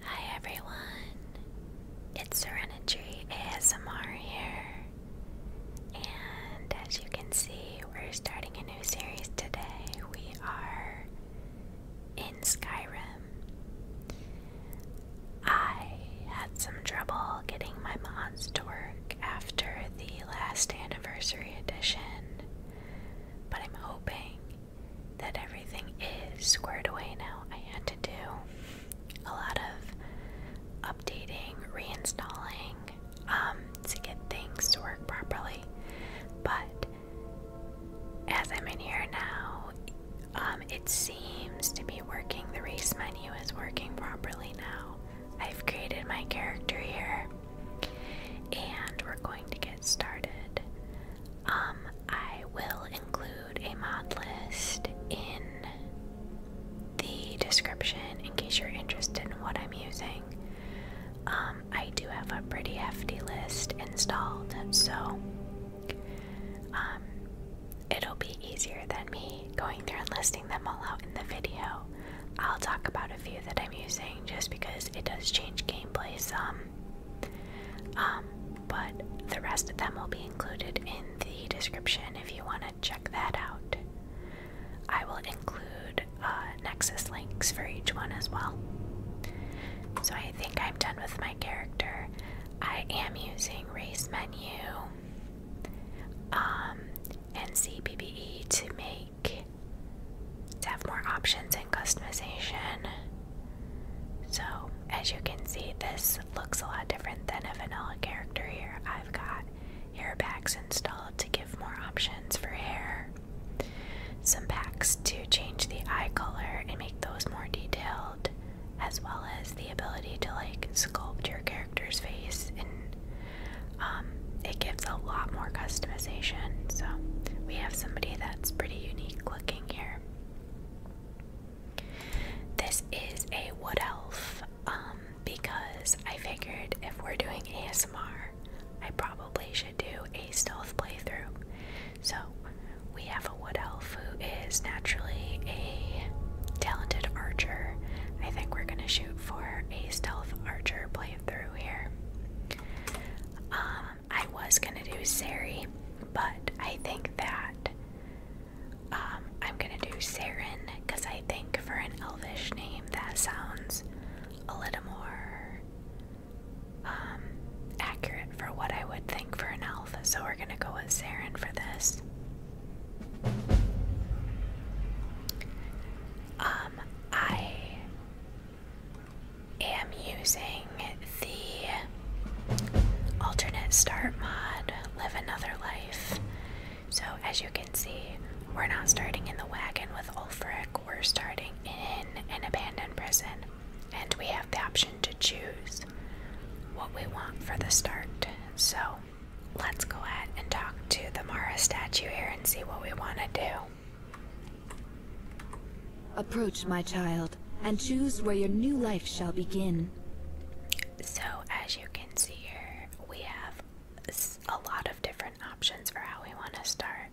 Hi everyone, it's Serenity ASMR here, and as you can see, we're starting a new series today. We are in Skyrim. I had some trouble getting my mods to work after the last anniversary edition. But I'm hoping that everything is squared away now. I had to do a lot of updating, reinstalling um, to get things to work properly. But as I'm in here now, um, it seems to be working. The race menu is working properly now. I've created my character here and we're going to get started. Um, I will include a mod list in the description in case you're interested in what I'm using. Um, I do have a pretty hefty list installed, so um, it'll be easier than me going through and listing them all out in the video. I'll talk about a few that I'm using just because it does change gameplay some. Um, but the rest of them will be included in the description if you want to check that out. I will include uh, Nexus links for each one as well. So I think I'm done with my character. I am using race menu um, and CBBE to make to have more options and customization. So, as you can see, this looks a lot different than a vanilla character here. I've got hair packs installed to give more options for hair, some packs to change the eye color and make those more detailed, as well as the ability to like sculpt your character's face and um, it gives a lot more customization. So we have somebody that's pretty unique looking here. This is a wood elf um, because I figured if we're doing ASMR, I probably should do a stealth playthrough. So we have a wood elf who is naturally a talented archer. I think we're going to shoot for a stealth archer playthrough here. Um, I was gonna do Sari, but I think that um, I'm gonna do Saren because I think for an Elvish name that sounds a little more um, accurate for what I would think for an elf. So we're gonna go with Saren for this. Um, I am using the alternate start mod, Live Another Life. So, as you can see, we're not starting in the wagon with Ulfric, we're starting in an abandoned prison, and we have the option to choose what we want for the start. So, let's go ahead and talk to the Mara statue here and see what we want to do. Approach, my child, and choose where your new life shall begin. So, as you can see here, we have a lot of different options for how we want to start.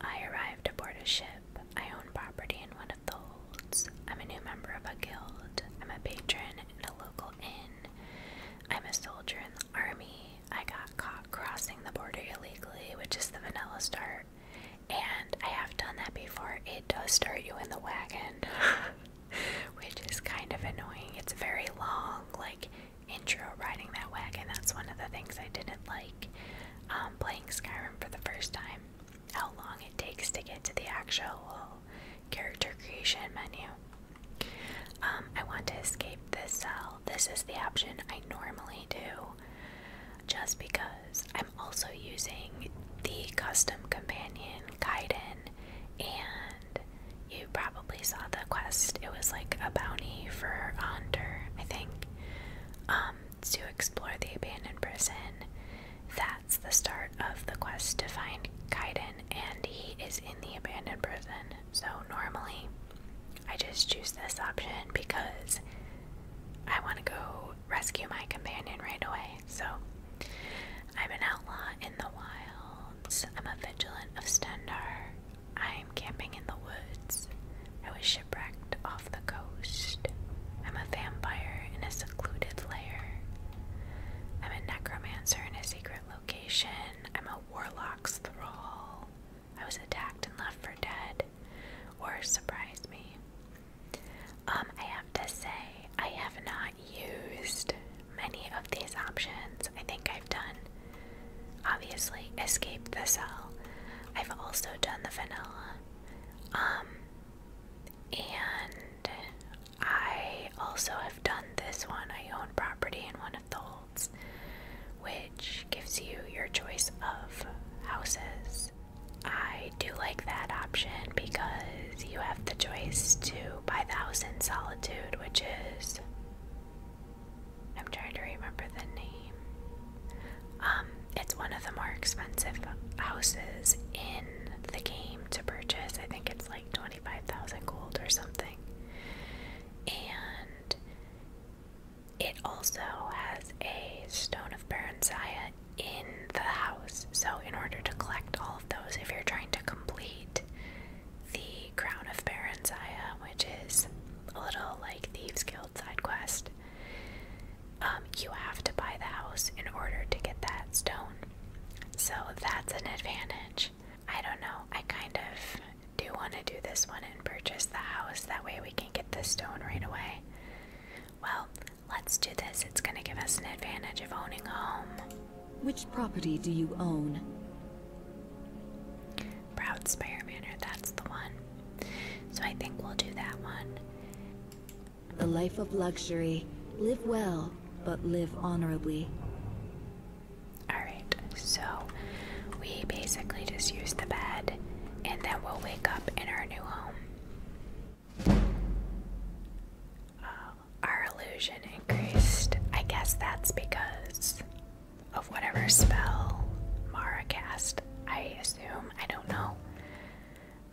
I arrived aboard a ship. I own property in one of the holds. I'm a new member of a guild. I'm a patron in a local inn. I'm a soldier in Army, I got caught crossing the border illegally, which is the vanilla start. And I have done that before. It does start you in the wagon, which is kind of annoying. It's very long, like intro riding that wagon. That's one of the things I didn't like um, playing Skyrim for the first time. How long it takes to get to the actual character creation menu. Um, I want to escape this cell uh, this is the option I normally do just because I'm also using the custom companion Kaiden, and you probably saw the quest. It was like a bounty for a hunter, I think, um, to explore the abandoned prison. That's the start of the quest to find Kaiden, and he is in the abandoned prison. So normally I just choose this option because I want to go rescue my companion right away. So I'm an outlaw in the wilds. I'm a vigilant of Stendar. I'm camping in the woods. I was shipwrecked off the coast. I'm a vampire in a secluded lair. I'm a necromancer in a secret location. I'm a warlock's thrall. I was attacked and left for dead, or surprised me. Um, I have to say, I have not used many of these options. I think I've done, obviously, escape the cell. I've also done the vanilla. Um, and I also have done this one. I own property in one of the which gives you your choice of houses. I do like that option because you have the choice to buy the house in solitude, which is. I'm trying to remember the name. Um, it's one of the more expensive houses in the game to purchase. I think it's like 25,000 gold or something. And it also has a stone of Paranzaya in the house. So, in order to collect all of those, if you're trying to complete the Crown of Paranzaya, which is a little like Thieves Guild side quest, um, you have to buy the house in order to get that stone. So, that's an advantage. I don't know. I kind of do want to do this one and purchase the house. That way we can get the stone right away. Well, let's do this. It's going to give us an advantage of owning a home. Which property do you own? Proud Spire Manor, that's the one. So I think we'll do that one. The life of luxury. Live well, but live honorably. Alright, so we basically just use the bed and then we'll wake up in our new home. Uh, our illusion increased. I guess that's because of whatever spell Mara cast, I assume. I don't know.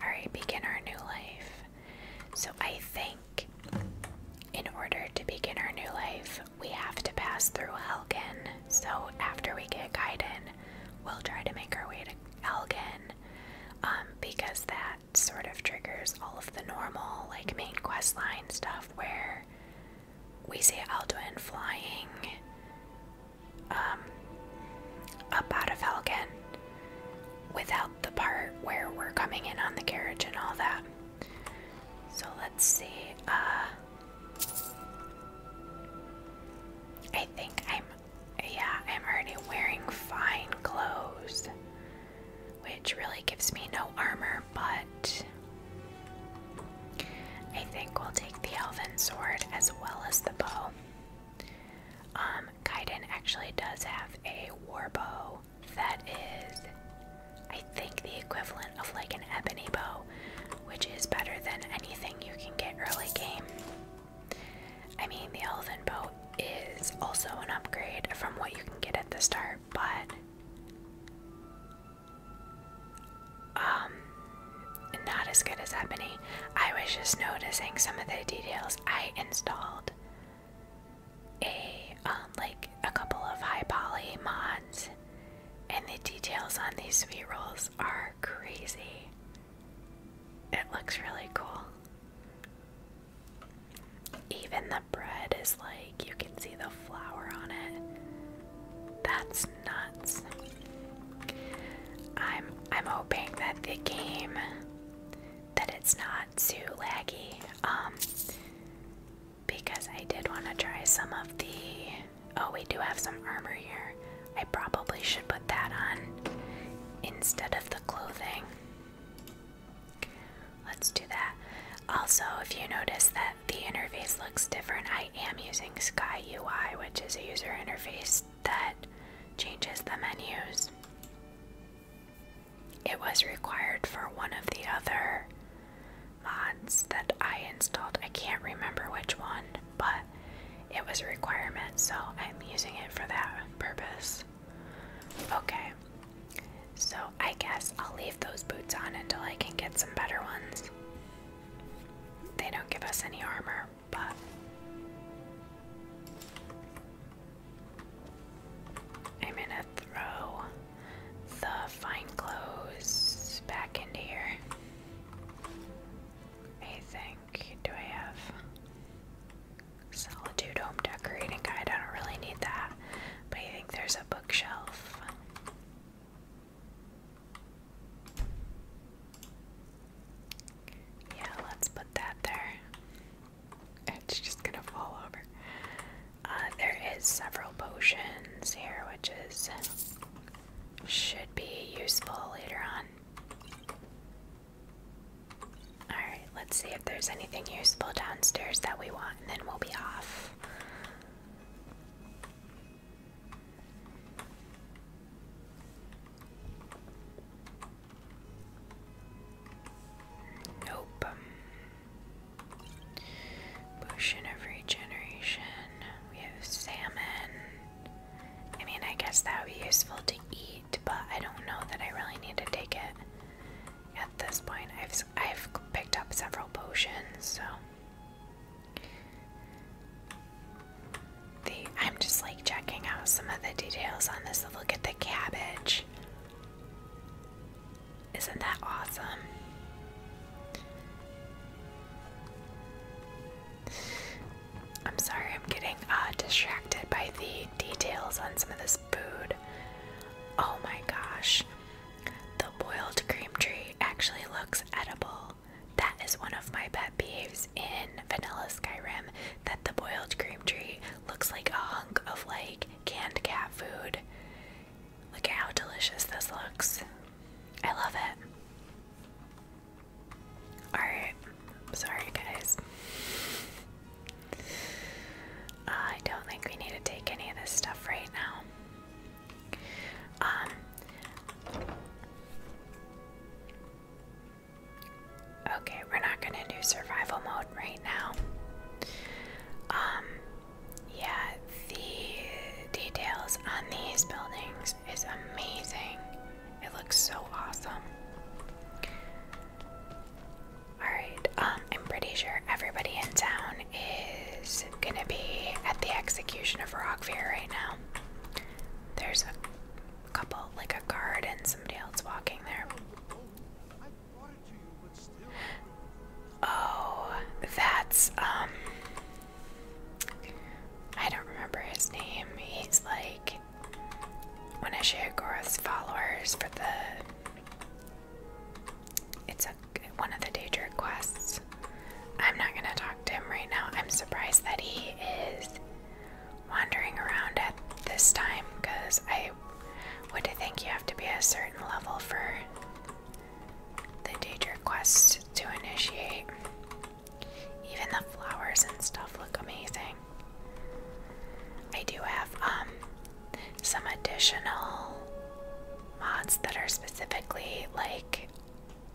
Alright, begin our new life. So I think in order to begin our new life, we have to pass through Helgen, so after we get Gaiden, we'll try to make our way to Helgen, um, because that sort of triggers all of the normal, like, main questline stuff where we see Alduin flying um, up out of Helgen without the part where we're coming in on the carriage and all that. So let's see. Uh, I think I'm, yeah, I'm already wearing fine clothes, which really gives me no armor, but I think we'll take the elven sword as well as the bow. Um, Kaiden actually does have a war bow that is, I think, the equivalent of like an ebony bow, which is better than anything you can get early game. I mean, the elephant boat is also an upgrade from what you can get at the start, but um, not as good as Ebony. I was just noticing some of the details. I installed a um, like a couple of high poly mods, and the details on these sweet rolls are crazy. It looks really cool. Even the bread is like, you can see the flour on it. That's nuts. I'm I'm hoping that the game that it's not too laggy. Um because I did want to try some of the Oh, we do have some armor here. I probably should put that on instead of the clothing. Let's do that. Also, if you notice that the interface looks different, I am using SkyUI, which is a user interface that changes the menus. It was required for one of the other mods that I installed. I can't remember which one, but it was a requirement, so I'm using it for that purpose. Okay, so I guess I'll leave those boots on until I can get some better ones. They don't give us any armor, but. I'm gonna throw the fine clothes back into here. I think, do I have solitude home decorating guide? I don't really need that, but I think there's a bookshelf. Yeah, let's put that there. It's just gonna fall over. Uh, there is several potions here, which is should be useful later on. Alright, let's see if there's anything useful downstairs that we want, and then we'll be off. Nope. Potion of regeneration. We have salmon. I mean, I guess that would be useful to eat, but I don't know that I really need to take it at this point. I've, I've picked up several potions, so. The, I'm just like checking out some of the details on this. Look at the cabbage. Isn't that awesome? I'm sorry, I'm getting uh, distracted by the details on some of this food. Oh my gosh. The boiled cream tree actually looks edible. That is one of my pet peeves in Vanilla Skyrim that the boiled cream tree looks like a hunk of like canned cat food. Look at how delicious this looks. I love it. Alright, sorry guys. I don't think we need to take any of this stuff right now. Um, okay, we're not gonna do survival mode right now. Um, yeah, the details on these buildings is amazing. It looks so awesome. Alright, um, I'm pretty sure everybody in town is gonna be at the execution of Rockfear right now. There's a couple, like a guard and somebody else walking there. Oh, that's, um, I don't remember his name. He's like one of Shagoroth's followers for the. It's a one of the danger quests. I'm not gonna talk to him right now. I'm surprised that he is wandering around at this time because I would think you have to be a certain level for the danger quests to initiate. Even the flowers and stuff look amazing. I do have um some additional mods that are specifically like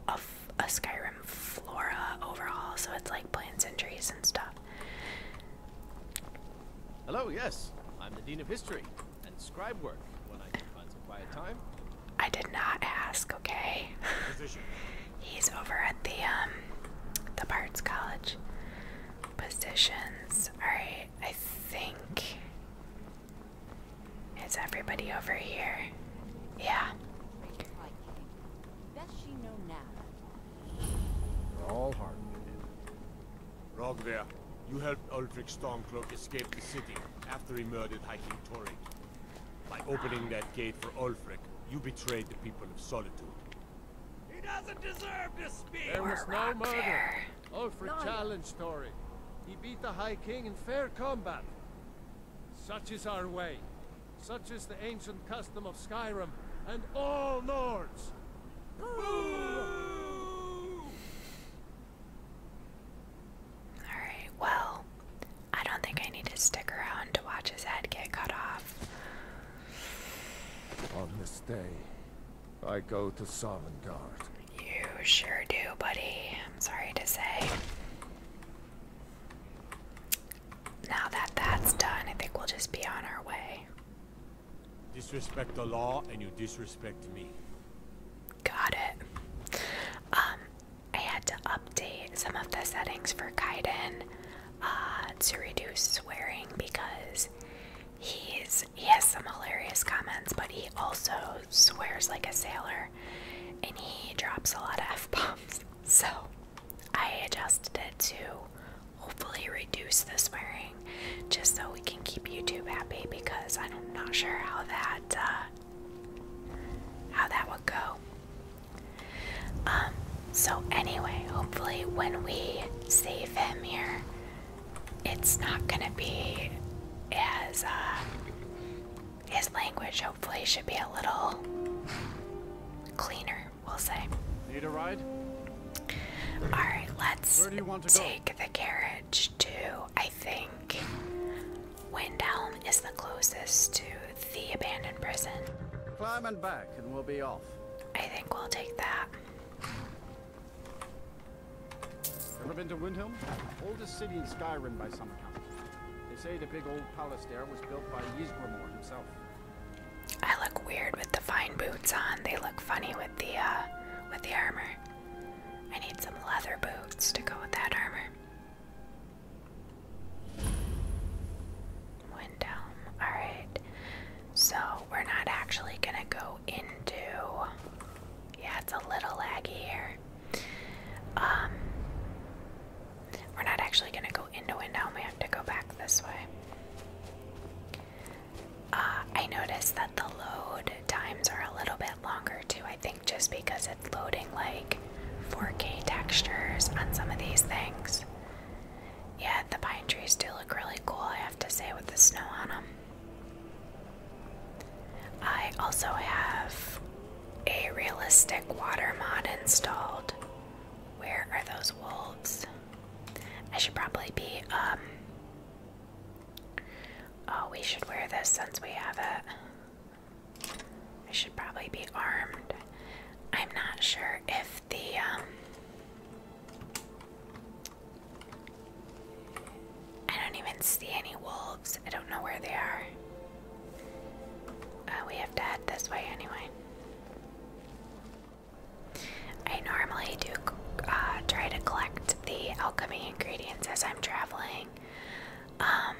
a, a Skyrim flora overall, so it's like plants and trees and stuff. Hello, yes. I'm the Dean of History and Scribe work when I can find some quiet time. I did not ask, okay? He's over at the um the parts College. Positions. Alright, I think it's everybody over here? Yeah. We're all hard. Rogvir, you helped Ulrich Stormcloak escape the city after he murdered Hiking Tori. By opening that gate for Olfric, you betrayed the people of Solitude. He doesn't deserve to speak! There was no murder. Olfric challenged Tori. He beat the High King in fair combat. Such is our way. Such is the ancient custom of Skyrim and all Nords. All right, well, I don't think I need to stick around to watch his head get cut off. On this day, I go to Sovngarde. You sure do, buddy. I'm sorry to say. Now that that's done, I think we'll just be on our way. Disrespect the law and you disrespect me. Got it. Um, I had to update some of the settings for Kaiden uh, to reduce swearing because he's he has some hilarious comments, but he also swears like a sailor, and he drops a lot of f bombs. So I adjusted it to hopefully reduce the swearing, just so we can keep YouTube happy because I'm not sure how that. Uh, how that would go. Um, so anyway, hopefully when we save him here, it's not gonna be as uh, his language hopefully should be a little cleaner, we'll say. Need a ride? Alright, let's take the carriage too. I think Windhelm is the closest to the abandoned prison. Climb and back, and we'll be off. I think we'll take that. Ever been to Windhelm? Oldest city in Skyrim by some accounts. They say the big old palace there was built by Ysgrimor himself. I look weird with the fine boots on. They look funny with the uh, with the armor. I need some leather boots to go with that armor. Windhelm. Alright. So we're not actually gonna go into yeah, it's a little laggy here. Um we're not actually gonna go into Windhelm, we have to go back this way. Uh, I noticed that the load times are a little bit longer too, I think, just because it's loading like 4K textures on some of these things. Yeah, the pine trees do look really cool, I have to say, with the snow on them. I also have a realistic water mod installed. Where are those wolves? I should probably be, um, Oh, we should wear this since we have it. I should probably be armed. I'm not sure if the um, I don't even see any wolves. I don't know where they are. Uh, we have to head this way anyway. I normally do uh, try to collect the alchemy ingredients as I'm traveling. Um,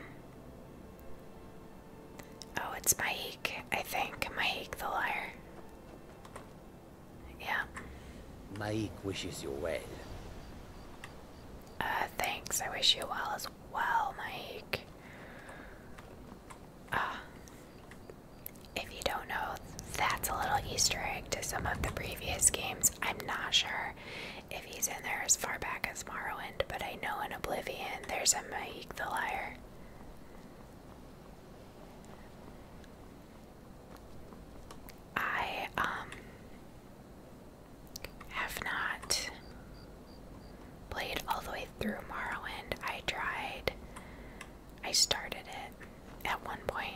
Oh, it's Maik. I think. Maik the liar. Yeah. Maik wishes you well. Uh, thanks. I wish you well as well, Maik. Uh, ah. if you don't know, that's a little Easter egg to some of the previous games. I'm not sure if he's in there as far back as Morrowind, but I know in Oblivion there's a Mike the Liar. I um have not played all the way through Morrowind. I tried. I started it at one point,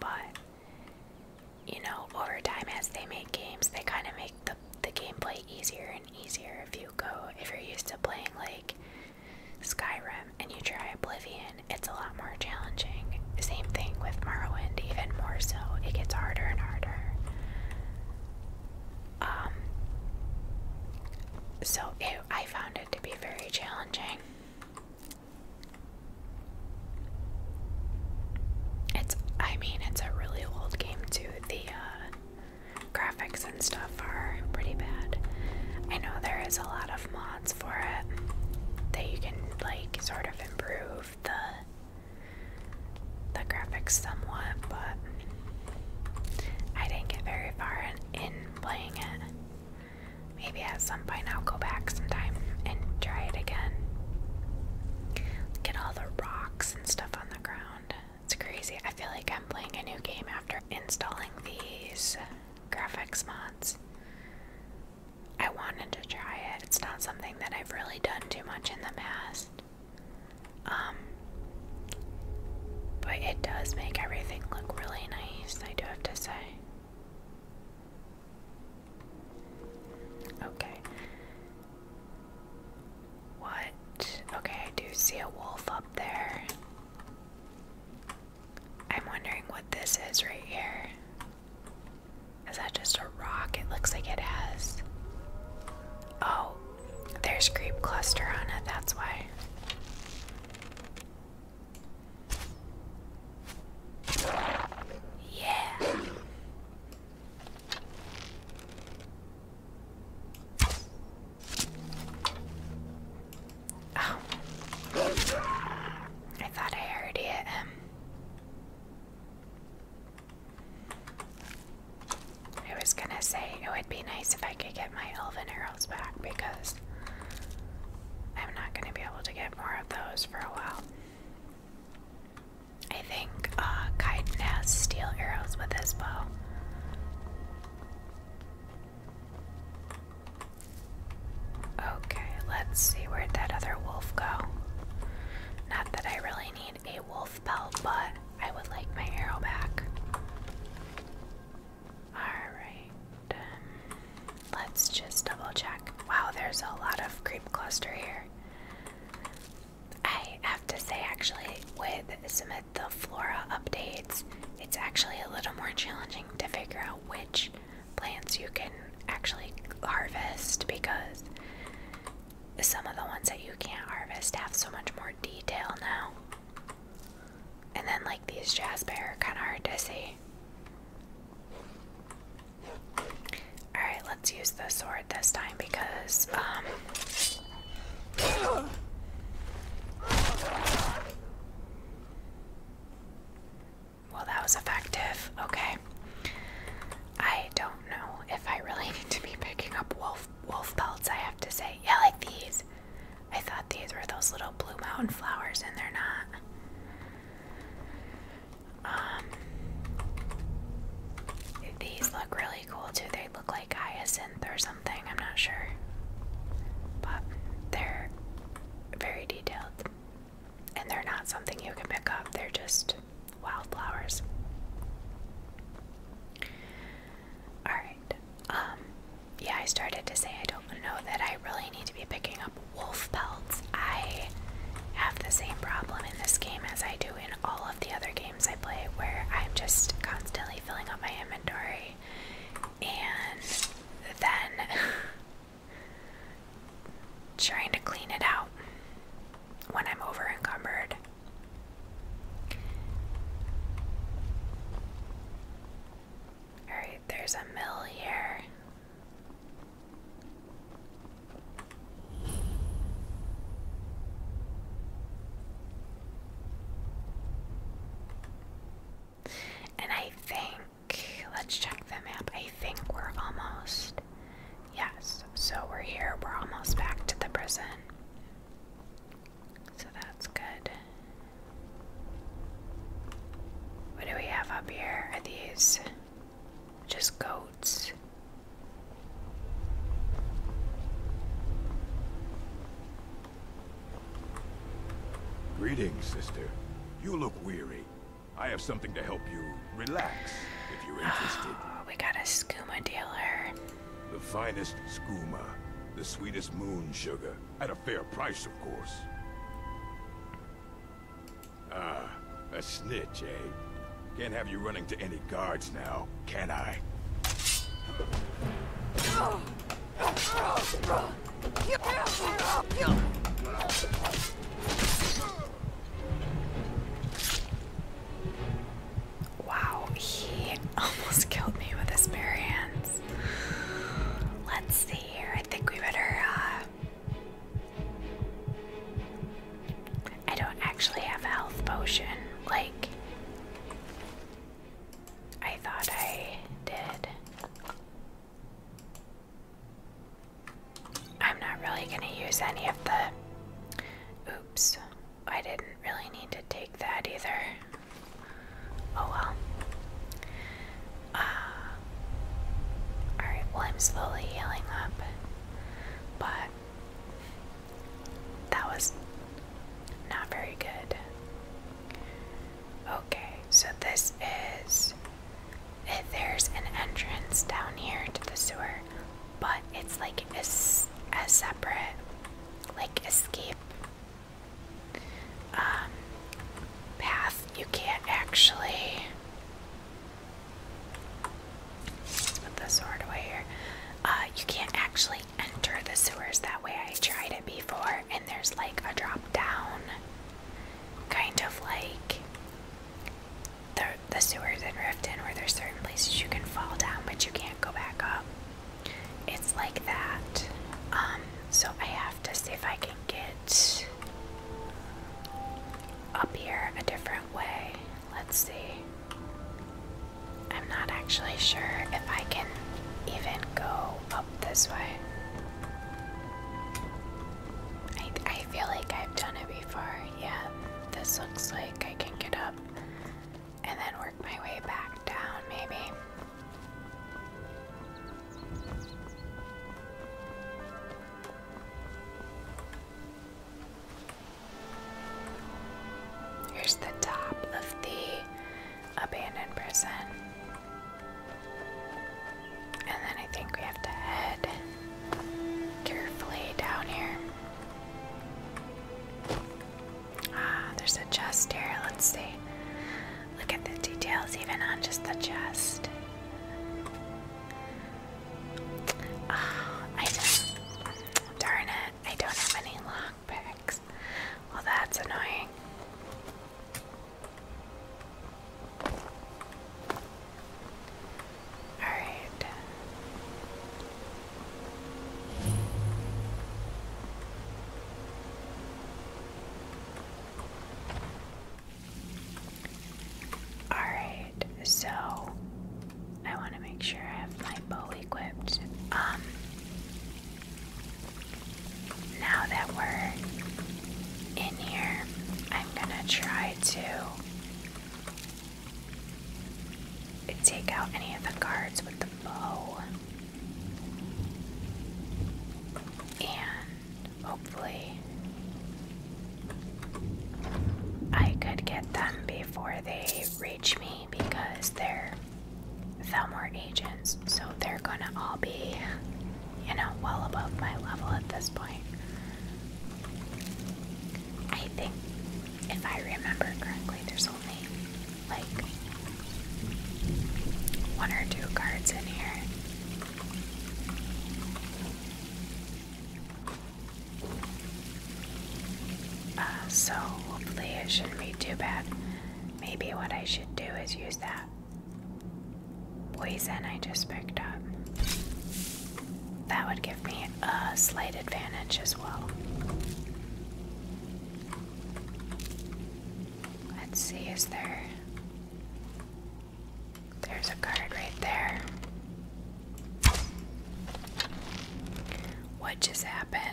but you know, over time as they make games, they kind of make the, the gameplay easier and easier if you go if you're used to playing like Skyrim and you try Oblivion, it's a lot more challenging. Same thing with Morrowind, even more so. It gets harder and harder. Um so it, I found it to be very challenging. It's I mean it's a really old game too, the uh, graphics and stuff are pretty bad. I know there is a lot of mods for it that you can like sort of improve the the graphics somewhat, but I didn't get very far in, in playing it. Maybe at some point I'll go back sometime and try it again. Look all the rocks and stuff on it's crazy. I feel like I'm playing a new game after installing these graphics mods. I wanted to try it. It's not something that I've really done too much in the past. Um, but it does make everything look really nice, I do have to say. Okay. What? Okay, I do see a wolf up there. I'm wondering what this is right here. Is that just a rock? It looks like it has. Oh, there's creep cluster on it, that's why. Yeah. Oh. I thought I already hit um, I was gonna say it would be nice if I could get my elven arrows back because I'm not gonna be able to get more of those for a while. I think uh, Kaiden has steel arrows with his bow. Okay, let's see where'd that other wolf go. Not that I really need a wolf belt, but I would like my arrow back. Alright, um, let's just double check. Wow, there's a lot of creep cluster here. I have to say, actually, with some of the flora updates, it's actually a little more challenging to figure out which plants you can actually harvest because some of the ones that you can't harvest have so much more detail now. And then, like, these jasper are kind of hard to see. Alright, let's use the sword this time because, um. Well, that was effective. Okay. I don't know if I really need to be picking up wolf wolf pelts, I have to say. Yeah, like these. I thought these were those little blue mountain flowers and they're not. Um these look really cool too. They look like hyacinth or something, I'm not sure. But they're very detailed. And they're not something you can pick up, they're just wildflowers. Alright. Um, yeah, I started to say I don't know that I really need to be picking up wolf pelts. I have the same problem in this game as I do in all of the other games games I play where I'm just constantly filling up my inventory and then trying to clean it out when I'm overencumbered. Alright, there's a mill here. And I think, let's check the map. I think we're almost, yes, so we're here. We're almost back to the prison. So that's good. What do we have up here? Are these just goat Greetings, sister. You look weary. I have something to help you relax, if you're interested. Oh, we got a skooma dealer. The finest skooma. The sweetest moon sugar. At a fair price, of course. Ah, a snitch, eh? Can't have you running to any guards now, can I? Wow, he almost killed me with his bare hands. Let's see here. I think we better uh, I don't actually have a health potion like I thought I did. I'm not really going to use any of the. Oops. I didn't really need to take that either. Oh well. Uh, Alright, well, I'm slowly healing up. But that was not very good. Okay, so this is. Eh, there's an entrance down here to the sewer, but it's like a, a separate, like, escape um, path. You can't actually put the sword away here. Uh, you can't actually enter the sewers that way. I tried it before, and there's like a drop down, kind of like the the sewers in Riften, where there's certain places you can fall down, but you can't go back up. It's like that. Um, so I have to see if I can get up here a different way. Let's see. I'm not actually sure if I can even go up this way. I, I feel like I've done it before. Yeah, this looks like I can get up and then work my way back down, maybe. Here's the top of the abandoned prison. And then I think we have to head carefully down here. Ah, there's a chest here. Let's see. Look at the details even on just the chest. Ah, I know. Darn I don't have any long picks. Well, that's annoying. Alright. Alright, so I want to make sure I have my bowie um, now that we're in here, I'm gonna try to take out any of the guards with the bow. And hopefully, I could get them before they reach me because they're Thelmore agents, so they're gonna all be, you know, well above my level at this point. I think, if I remember correctly, there's only like one or two cards in here. Uh, so hopefully it shouldn't be too bad. Maybe what I should do is use that poison I just picked up. That would give me a slight advantage as well. Let's see, is there. There's a card right there. What just happened?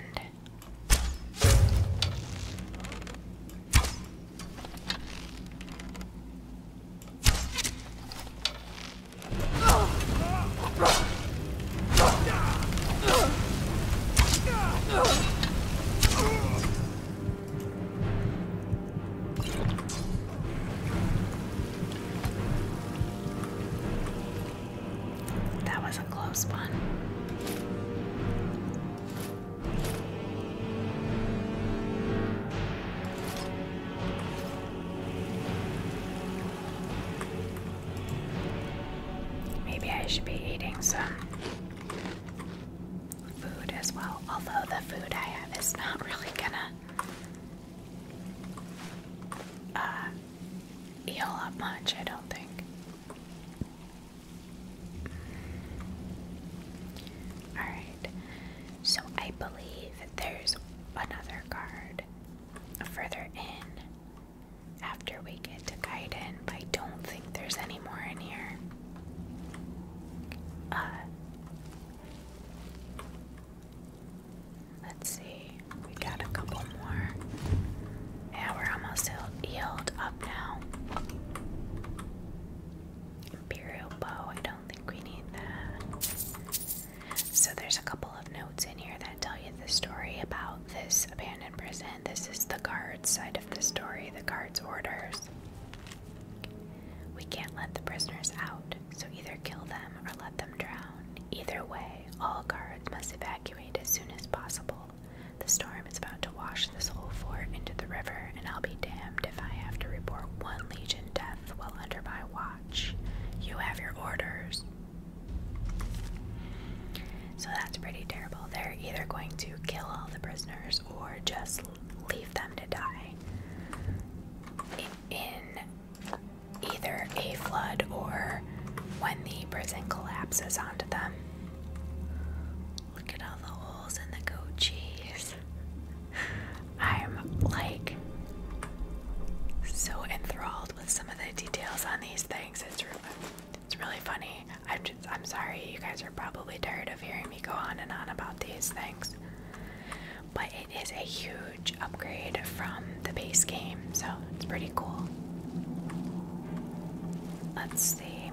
That was a close one. Maybe I should be eating some food as well, although the food I have is not really gonna uh, heal much, I don't think. Alright, so I believe there's another card further in after we get to Gaiden, but I don't think there's any more in here. Uh, Let's see, we got a couple more. Yeah, we're almost healed up now. Imperial bow, I don't think we need that. So there's a couple of notes in here that tell you the story about this abandoned prison. This is the guard's side of the story, the guard's orders. We can't let the prisoners out, so either kill them or let them drown. Either way, all guards must evacuate as soon as possible. The storm is about to wash this whole fort into the river, and I'll be damned if I have to report one Legion death while under my watch. You have your orders. So that's pretty terrible. They're either going to kill all the prisoners or just leave them to die. In either a flood or when the prison collapses onto them. Look at all the holes in the goat cheese. I'm like so enthralled with some of the details on these things. It's really, it's really funny. I'm just I'm sorry you guys are probably tired of hearing me go on and on about these things. But it is a huge upgrade from the base game, so it's pretty cool. Let's see.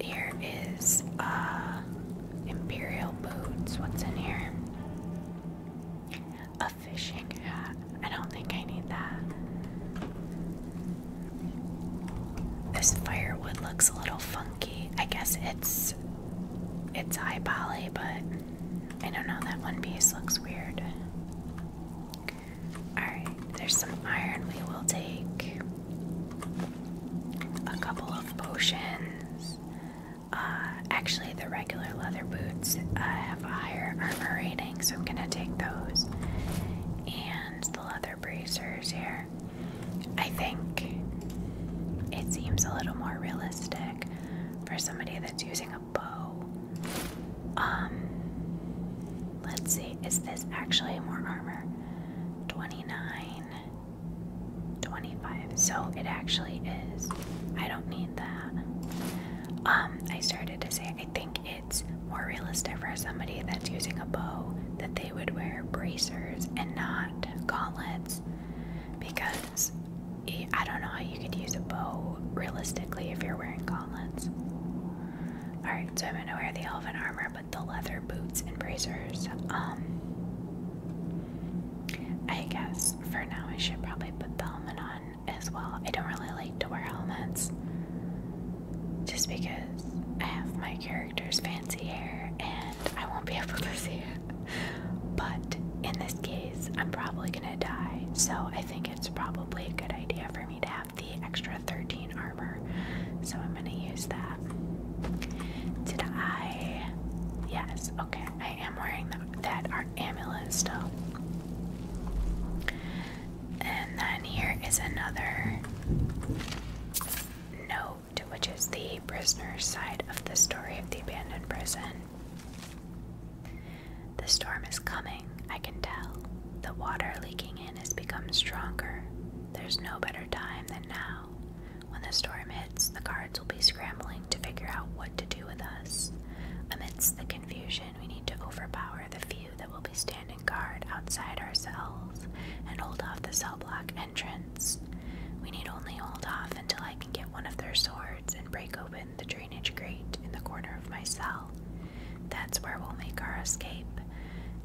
Here is uh, Imperial Boots. What's in here? A fishing hat. I don't think I need that. This firewood looks a little funky. I guess it's it's high poly, but I don't know, that one piece looks weird. Alright, there's some iron we will take. A couple of potions. Uh, actually, the regular leather boots uh, have a higher armor rating, so I'm gonna take those. And the leather bracers here. I think it seems a little more realistic for somebody that's using a bow. Um, let's see, is this actually more armor? 29, 25. So it actually is. I don't need that. Um, I started to say I think it's more realistic for somebody that's using a bow that they would wear bracers and not gauntlets because I don't know how you could use a bow realistically if you're wearing gauntlets. Alright, so I'm gonna wear the elven armor, but the leather boots and bracers. Um, I guess for now I should probably put the helmet on as well. I don't really like to wear helmets just because I have my character's fancy hair and I won't be able to see it. But in this case, I'm probably gonna die, so I think it's probably a good idea for me to have the extra 13 armor. So I'm going to use that. Did I. Yes, okay. I am wearing that art amulet still. And then here is another note, which is the prisoner's side of the story of the abandoned prison. The storm is coming, I can tell. The water leaking in has become stronger. There's no better time than now. When the storm hits, the guards will be scrambling to figure out what to do with us. Amidst the confusion, we need to overpower the few that will be standing guard outside our cells and hold off the cell block entrance. We need only hold off until I can get one of their swords and break open the drainage grate in the corner of my cell. That's where we'll make our escape.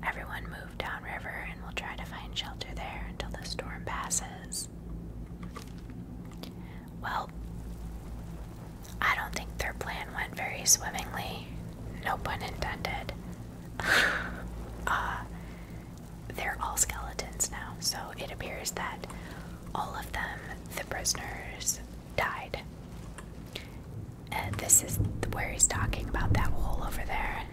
Everyone move downriver and we'll try to find shelter there until the storm passes. Well, I don't think their plan went very swimmingly. No pun intended. uh, they're all skeletons now, so it appears that all of them, the prisoners, died. And this is where he's talking about that hole over there.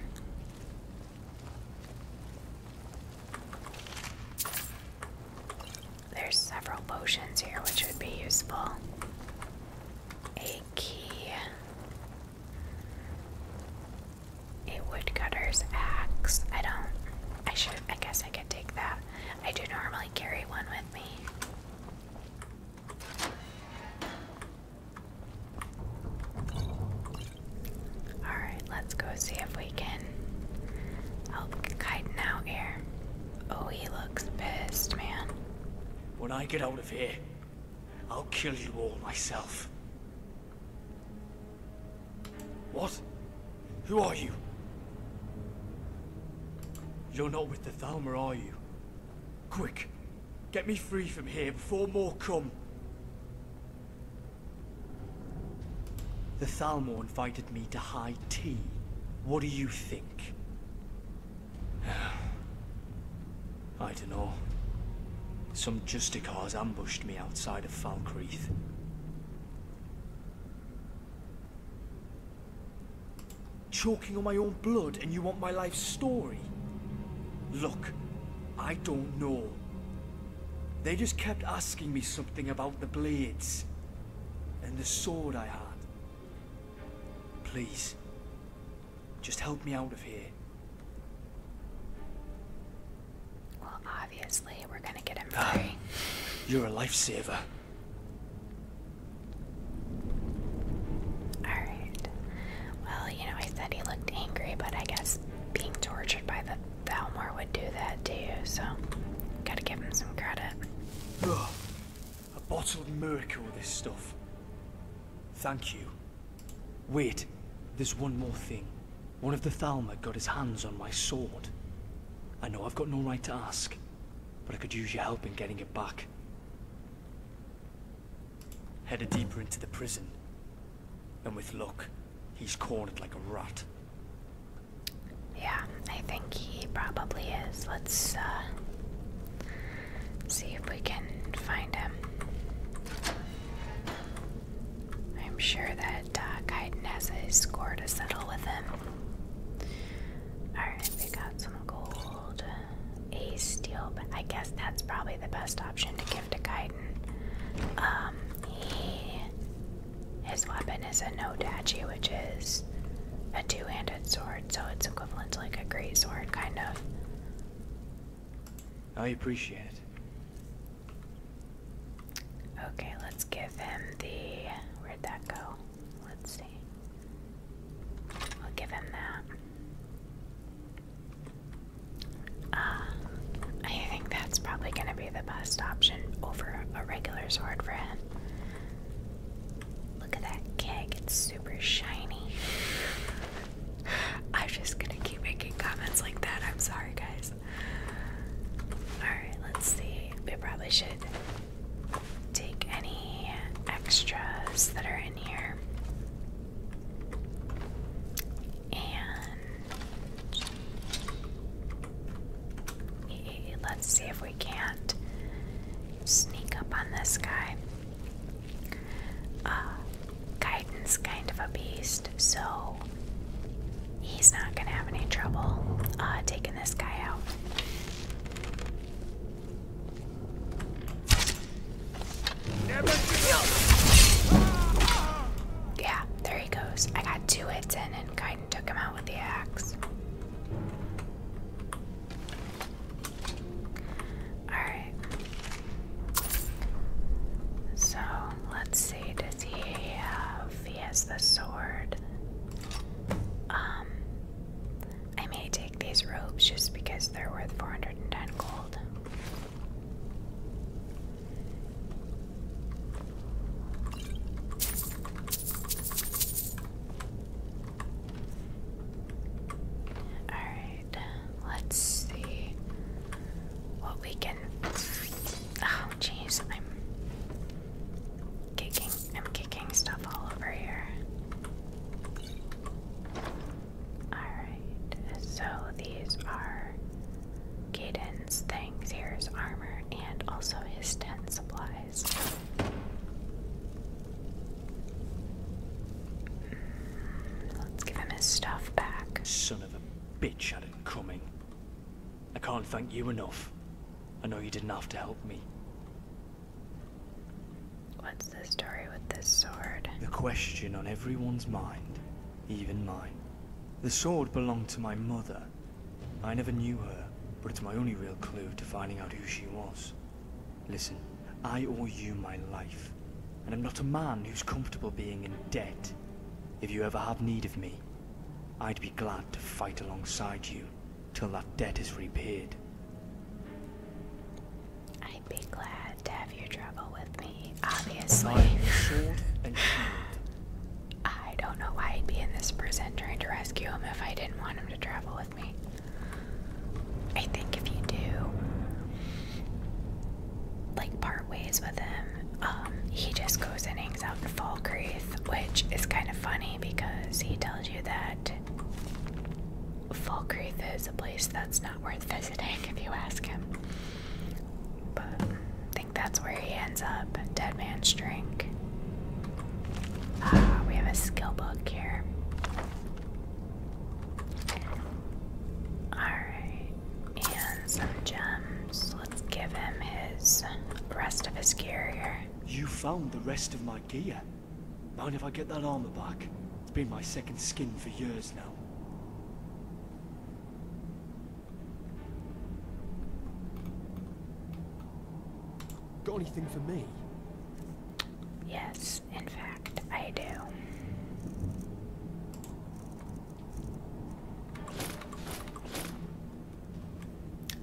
There's several potions here which would be useful. A key. A woodcutter's axe. I don't I should I guess I can take that. I do normally carry one with me. Alright, let's go see if we can help Kaiden out here. Oh, he looks pissed, man. When I get out of here, I'll kill you all myself. What? Who are you? You're not with the Thalmor, are you? Quick, get me free from here before more come. The Thalmor invited me to high tea. What do you think? I don't know. Some justicars ambushed me outside of Falkreath. Choking on my own blood and you want my life story? Look, I don't know. They just kept asking me something about the blades and the sword I had. Please, just help me out of here. Well, obviously, we're gonna get him ah, free. You're a lifesaver. Alright. Well, you know, I said he looked angry, but I guess being tortured by the Thalmor would do that too. so gotta give him some credit. Ugh. A of miracle, this stuff. Thank you. Wait, there's one more thing. One of the Thalmor got his hands on my sword. I know I've got no right to ask, but I could use your help in getting it back. Headed deeper into the prison, and with luck, he's cornered like a rat. Yeah, I think he probably is. Let's uh, see if we can find him. I'm sure that uh, Kaiden has a score to settle with him. Alright, we got some gold. A steel, but I guess that's probably the best option to give to Kaiden. Um, he. His weapon is a no dachi, which is a two handed sword, so it's equivalent to like a great sword, kind of. I appreciate it. Okay, let's give him the. Where'd that go? Let's see. We'll give him that. Uh, I think that's probably going to be the best option over a regular sword for him. Look at that keg, it's super shiny. I'm just going to keep making comments like that. I'm sorry, guys. Alright, let's see. We probably should take any extras that are in here and let's see if we can't sneak up on this guy. Uh, Guidance, kind of a beast, so he's not gonna have any trouble uh, taking this guy out. Yeah, there he goes. I got two hits in and kind of took him out with the axe. Alright. So, let's see. Does he He has the sword. Um, I may take these robes just because they're worth 410 gold. Alright, let's see what we can. Oh, jeez, I'm. I'm kicking stuff all over here. Alright, so these are Caden's things. Here's armor and also his tent supplies. Hmm, let's give him his stuff back. Son of a bitch had it coming. I can't thank you enough. I know you didn't have to help me. What's the story with this sword? The question on everyone's mind, even mine. The sword belonged to my mother. I never knew her, but it's my only real clue to finding out who she was. Listen, I owe you my life, and I'm not a man who's comfortable being in debt. If you ever have need of me, I'd be glad to fight alongside you till that debt is repaid. I'd be glad to have your trouble with me, obviously. sword I don't know why I'd be in this prison trying to rescue him if I didn't want him to travel with me. I think if you do, like, part ways with him, um, he just goes and hangs out in Falkreath, which is kind of funny because he tells you that Falkreath is a place that's not worth visiting if you ask him. But I think that's where he ends up. Dead Man's Drink. Ah, we have a skill book here. Alright, and some gems. Let's give him his rest of his gear You found the rest of my like gear. Mind if I get that armor back? It's been my second skin for years now. Got anything for me? Yes, in fact, I do.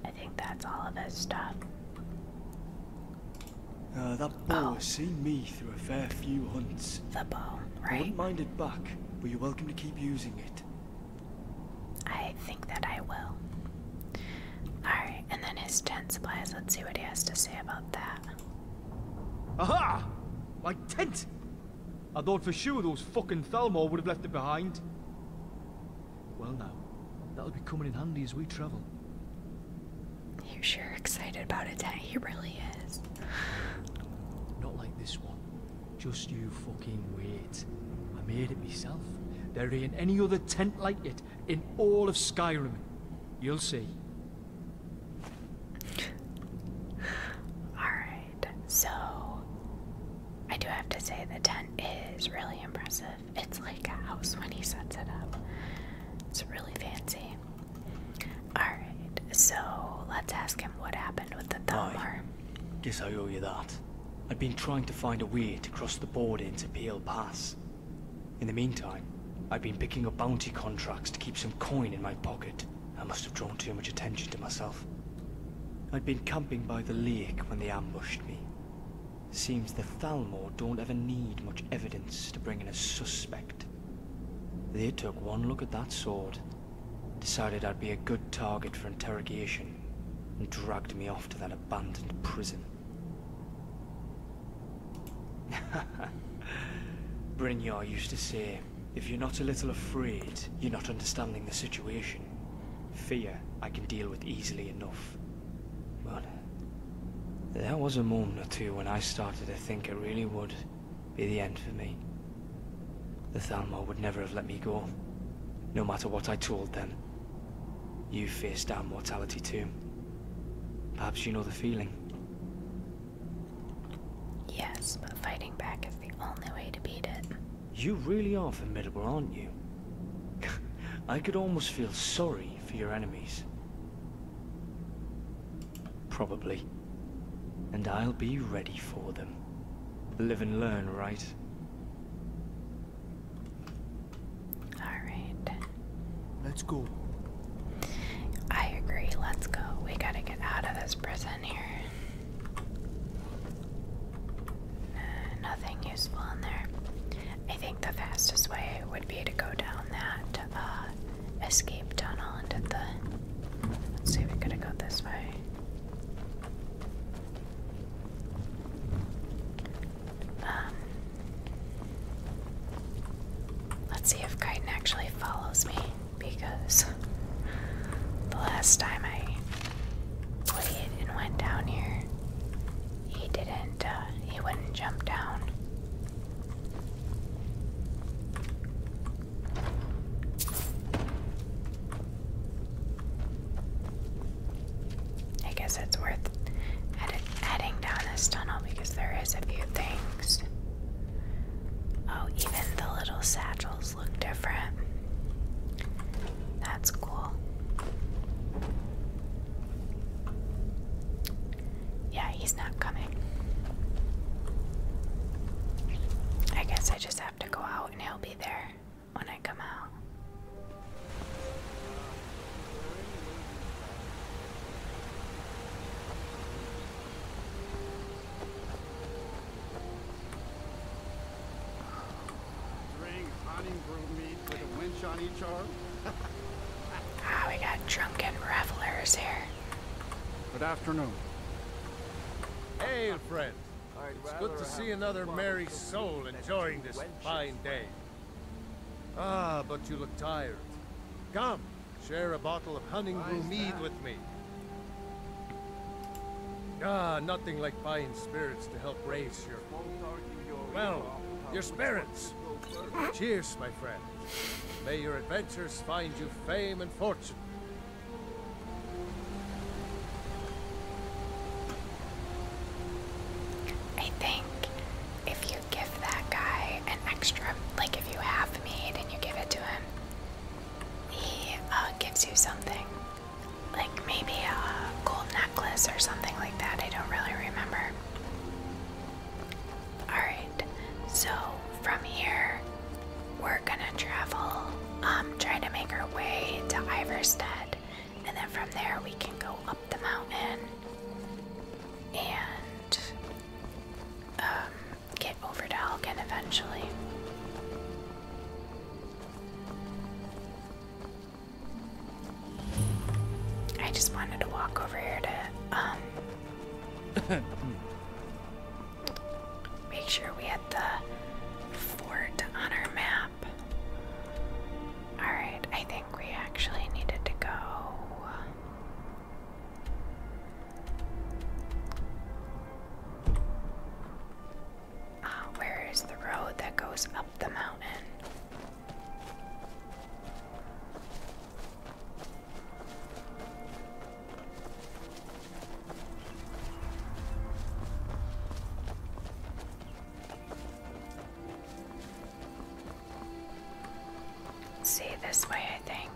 I think that's all of his stuff. Uh, that bow oh. has seen me through a fair few hunts. The bow, right? I wouldn't mind it back, but you're welcome to keep using it. I think that I will. Alright, and then his tent supplies. Let's see what he has to say about that. Aha! My tent! I thought for sure those fucking Thalmor would have left it behind. Well now, that'll be coming in handy as we travel. You're sure excited about it, Dad. He really is. Not like this one. Just you fucking wait. I made it myself. There ain't any other tent like it in all of Skyrim. You'll see. Alright, so I do have to say the tent is really impressive. It's like a house when he sets it up. It's really fancy. Alright, so let's ask him what happened with the thumb arm. Guess I owe you that. I've been trying to find a way to cross the border into Pale Pass. In the meantime, i had been picking up bounty contracts to keep some coin in my pocket. I must have drawn too much attention to myself. I'd been camping by the lake when they ambushed me. Seems the Thalmor don't ever need much evidence to bring in a suspect. They took one look at that sword, decided I'd be a good target for interrogation, and dragged me off to that abandoned prison. Brynjar used to say, if you're not a little afraid, you're not understanding the situation. Fear I can deal with easily enough. But there was a moment or two when I started to think it really would be the end for me. The Thalmor would never have let me go, no matter what I told them. You faced down mortality too. Perhaps you know the feeling. Yes, but fighting back is the only way to beat it. You really are formidable, aren't you? I could almost feel sorry for your enemies. Probably. And I'll be ready for them. Live and learn, right? Alright. Let's go. I agree, let's go. We gotta get out of this prison here nothing useful in there. I think the fastest way would be to go down that uh, escape tunnel and do the. Let's see, if we got go this way. Um, let's see if Kaiden actually follows me because the last time I played and went down here, he didn't, uh, he wouldn't jump down. I guess it's worth heading down this tunnel because there is a few things. Oh, even the little satchels look different. That's cool. Yeah, he's not coming. I guess I just have to go out and he'll be there when I come out with a winch on each arm? ah, we got drunken revelers here. Good afternoon. Hey, friend. It's good to see another merry soul enjoying this fine day. Ah, but you look tired. Come, share a bottle of hunting brew mead with me. Ah, nothing like buying spirits to help raise your well, your spirits. Cheers, my friend. May your adventures find you fame and fortune. I think if you give that guy an extra, like if you have meat and you give it to him, he uh, gives you something like maybe a gold necklace or something like that. I don't really remember. Alright, so from here we're gonna travel, um, trying to make our way to Iverstead, and then from there we can go up the mountain and um, get over to Elgin eventually. I just wanted to walk over here to um make sure we had the fort on our map. Alright, I think we actually needed to go. Uh, where is the road that goes up the mountain? See this way, I think.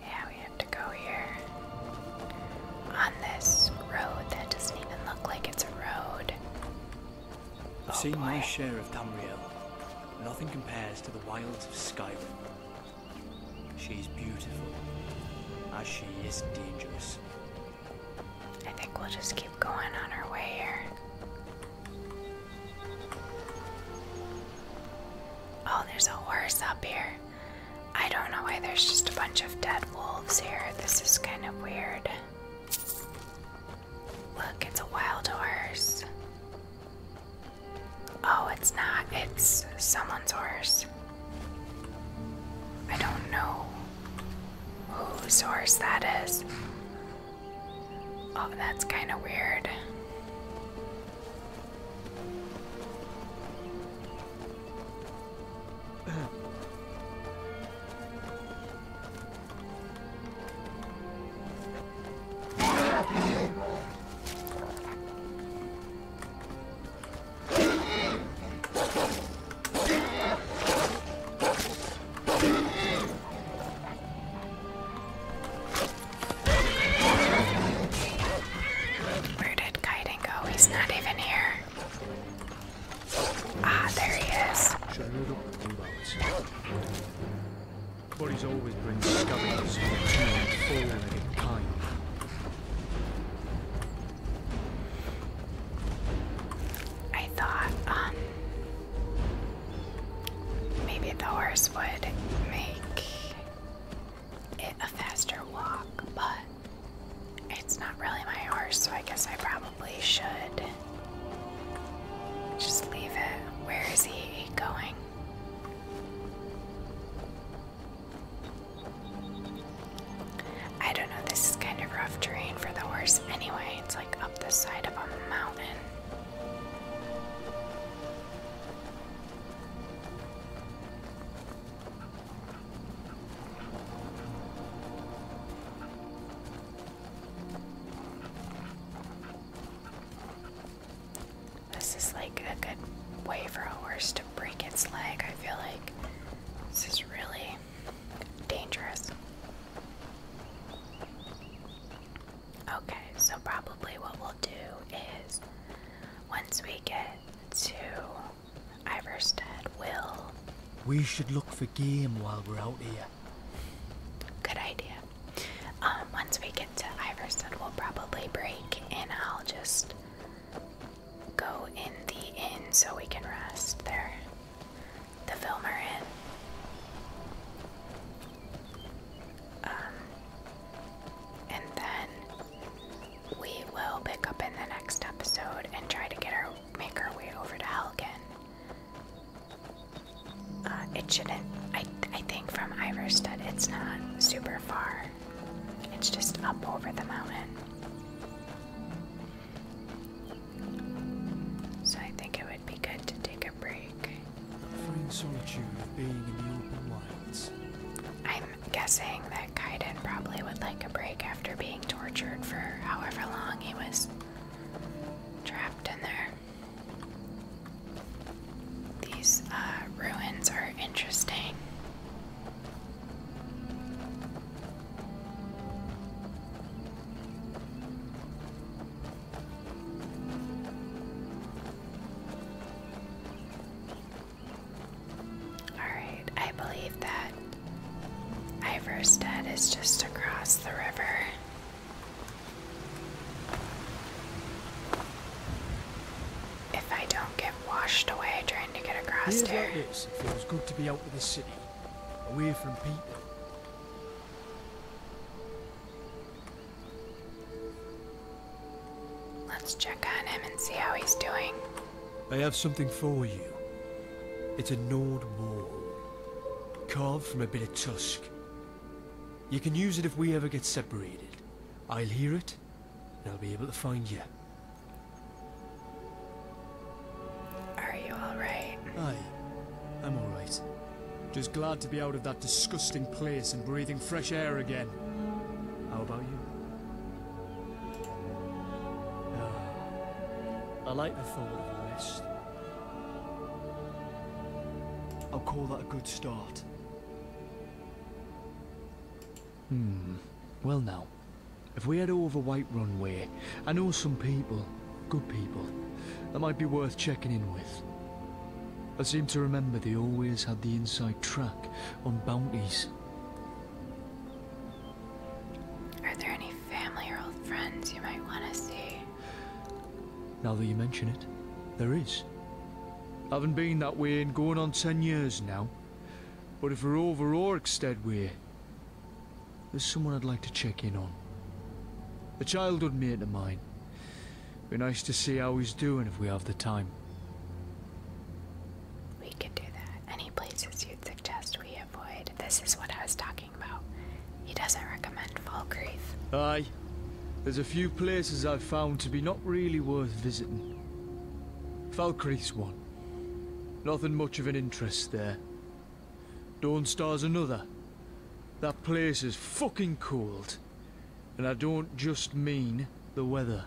Yeah, we have to go here. On this road that doesn't even look like it's a road. I've oh, my share of Tamriel. Nothing compares to the wilds of Skyrim. She's beautiful, as she is dangerous. I think we'll just keep going on our way here. Oh, there's a horse up here. I don't know why there's just a bunch of dead wolves here. This is kind of weird. Look, it's a wild horse. Oh, it's not. It's someone's horse. I don't know whose horse that is. Oh, that's kind of weird. Where did Kaiden go? He's not even here. Ah, there he is. Bodies always bring discoveries of two full in kind. I thought um, maybe the horse would make it a faster walk, but it's not really my horse, so I guess I probably should just leave it. Where is he going? I don't know, this is kind of rough terrain for the horse anyway. It's like up the side of a mountain. This is like a good way for a horse to break its leg, I feel like. This is really Dangerous. Okay, so probably what we'll do is once we get to Iverstead, we'll. We should look for game while we're out here. Good idea. Um, once we get to Iverstead, we'll probably break and I'll just go in the inn so we can rest there the filmer in. Um, and then we will pick up in the next episode and try to get our make our way over to Helgen. Uh, it shouldn't. I I think from Iverstead, it's not super far. It's just up over the mountain. So I think it would be good to take a break. I'm guessing that Kaiden probably would like a break after being tortured for however long he was trapped in there. These uh, ruins are interesting. Alright, I believe that Iverstead is just across the river. If I don't get washed away trying to get across here, there. It feels good to be out of the city away from people. Let's check on him and see how he's doing. I have something for you. It's a Nord wall, carved from a bit of tusk. You can use it if we ever get separated. I'll hear it, and I'll be able to find you. Are you alright? Aye, I'm alright. Just glad to be out of that disgusting place and breathing fresh air again. How about you? Ah, I like the thought of a rest. I'll call that a good start. Hmm. Well now, if we head over White Runway, I know some people, good people, that might be worth checking in with. I seem to remember they always had the inside track on bounties. Are there any family or old friends you might want to see? Now that you mention it, there is. I haven't been that way in going on ten years now. But if we're over Oryxted way, there's someone I'd like to check in on. A childhood mate of mine. Be nice to see how he's doing if we have the time. We could do that. Any places you'd suggest we avoid. This is what I was talking about. He doesn't recommend Falkreath. Aye. There's a few places I've found to be not really worth visiting. Falkreath's one. Nothing much of an interest there. Dawnstar's another. That place is fucking cold. And I don't just mean the weather.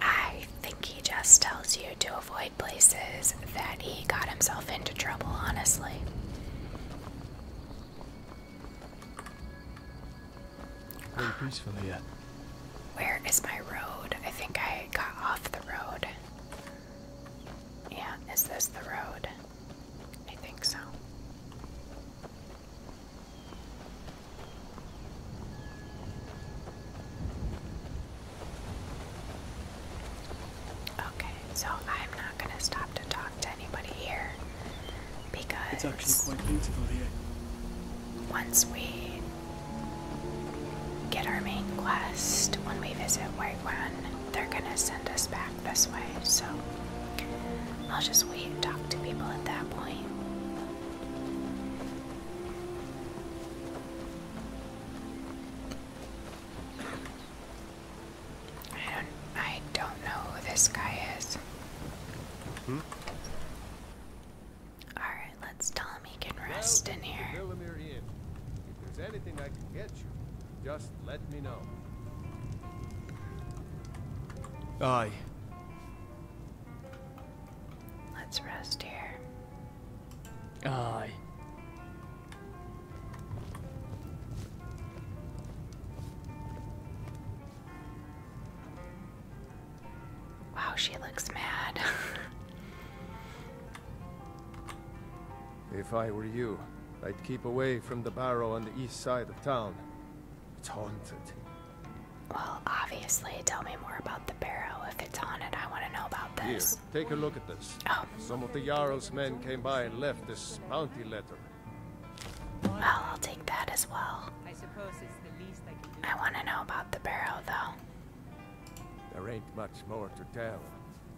I think he just tells you to avoid places that he got himself into trouble, honestly. Very peaceful where is my road? I think I got off the road. Yeah, is this the road? I think so. Okay, so I'm not going to stop to talk to anybody here because. It's actually quite beautiful here once we get our main quest, when we visit White One, they're gonna send us back this way. So I'll just wait and talk to people at that point. I don't, I don't know who this guy is. Hmm? Alright, let's tell him he can rest in here. Inn. If there's anything I can get you, just let me know. Aye. Let's rest here. Aye. Wow, she looks mad. if I were you, I'd keep away from the barrow on the east side of town. It's haunted. Well, obviously, tell me more about the barrow. If it's haunted, I want to know about this. Here, take a look at this. Oh. Some of the Jarl's men came by and left this bounty letter. Well, I'll take that as well. I suppose it's the least I can do. I want to know about the barrow, though. There ain't much more to tell.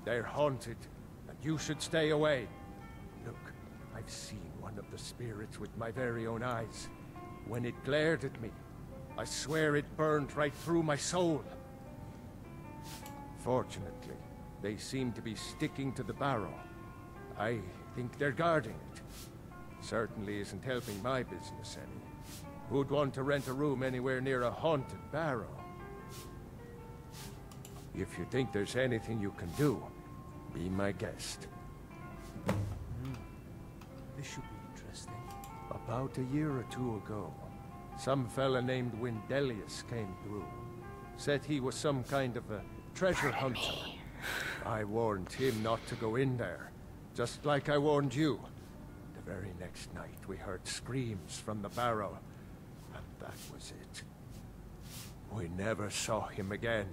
They're haunted, and you should stay away. Look, I've seen one of the spirits with my very own eyes. When it glared at me, I swear it burned right through my soul. Fortunately, they seem to be sticking to the barrow. I think they're guarding it. Certainly isn't helping my business any. Who'd want to rent a room anywhere near a haunted barrow? If you think there's anything you can do, be my guest. Hmm. This should be interesting. About a year or two ago, some fella named Windelius came through. Said he was some kind of a treasure hunter. I warned him not to go in there just like I warned you. The very next night we heard screams from the barrow, and that was it. We never saw him again.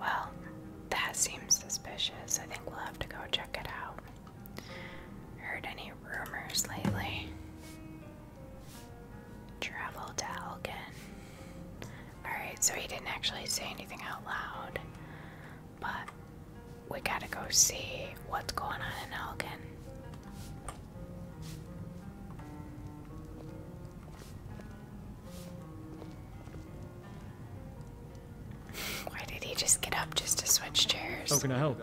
Well, that seems suspicious. I think we'll have to go check it out. Heard any rumors lately? Travel to Algen. Alright, so he didn't actually say anything out loud. But we gotta go see what's going on in Elgin. Why did he just get up just to switch chairs? How can I help?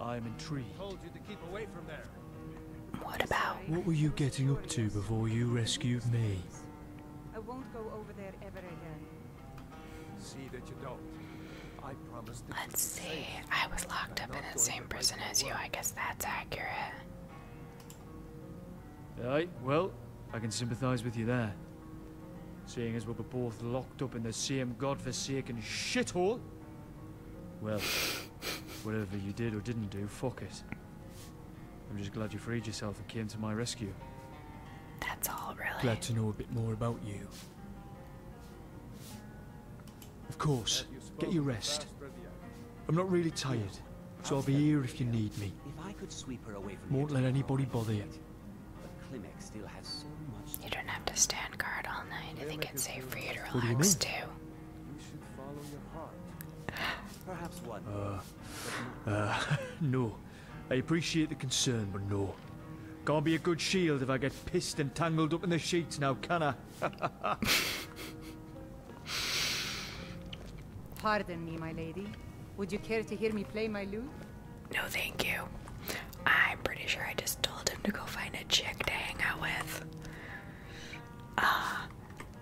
I'm intrigued. I told you to keep away from there. What about? What were you getting up to before you rescued me? I won't go over there ever again. See that you don't. I promised. Let's see. I was locked up in the same prison as you. I guess that's accurate. Aye. Well, I can sympathise with you there. Seeing as we were both locked up in the same godforsaken shithole, well, whatever you did or didn't do, fuck it. I'm just glad you freed yourself and came to my rescue. That's all, really. Glad to know a bit more about you. Of course, get your rest. I'm not really tired, so I'll be here if you need me. If Won't let anybody bother you. You don't have to stand guard all night. I think it's safe for you to relax too. You should follow your heart. Perhaps one. Uh, uh, no. I appreciate the concern, but no. Can't be a good shield if I get pissed and tangled up in the sheets now, can I? Pardon me, my lady. Would you care to hear me play my lute? No, thank you. I'm pretty sure I just told him to go find a chick to hang out with. Ah, uh,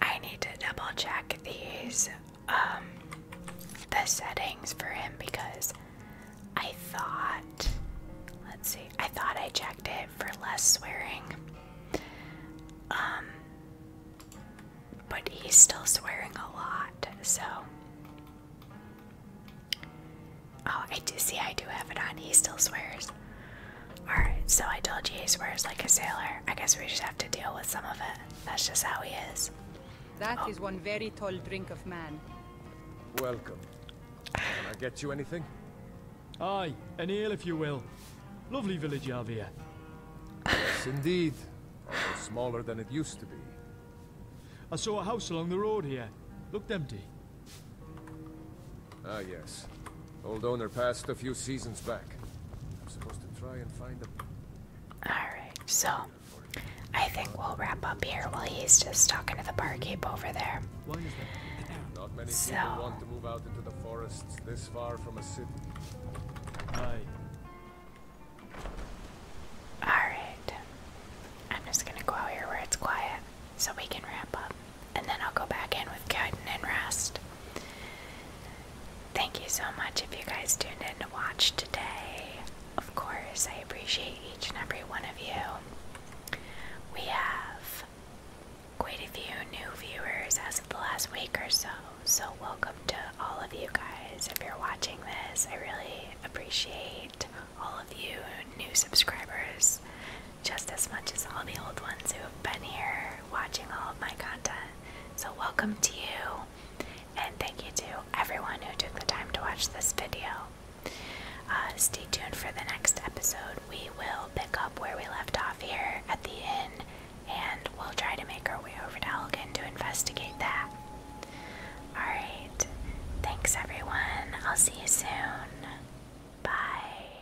I need to double check these um, the settings for him because I thought let's see I thought I checked it for less swearing um, but he's still swearing a lot so oh I do see I do have it on he still swears Alright, so I told you he swears like a sailor. I guess we just have to deal with some of it. That's just how he is. That oh. is one very tall drink of man. Welcome. Can I get you anything? Aye, an ale if you will. Lovely village you here. Yes, indeed. smaller than it used to be. I saw a house along the road here. Looked empty. Ah, yes. Old owner passed a few seasons back. I'm supposed to try and find him. Alright, so I think we'll wrap up here while he's just talking to the barkeep over there. Not many so. people want to move out into the forests this far from a city. Alright. I'm just gonna go out here where it's quiet so we can wrap up and then I'll go back in with Kaiden and rest. Thank you so much if you guys tuned in to watch today. Of course, I appreciate each and every one of you. We have quite a few new viewers as of the last week or so, so welcome to all of you guys. If you're watching this, I really appreciate all of you new subscribers just as much as all the old ones who have been here watching all of my content. So, welcome to you, and thank you to everyone who took the time to watch this video. Uh, stay tuned for the next episode. We will pick up where we left off here at the inn, and we'll try to make our way over to Elgin to investigate that. Alright, thanks everyone. I'll see you soon. Bye.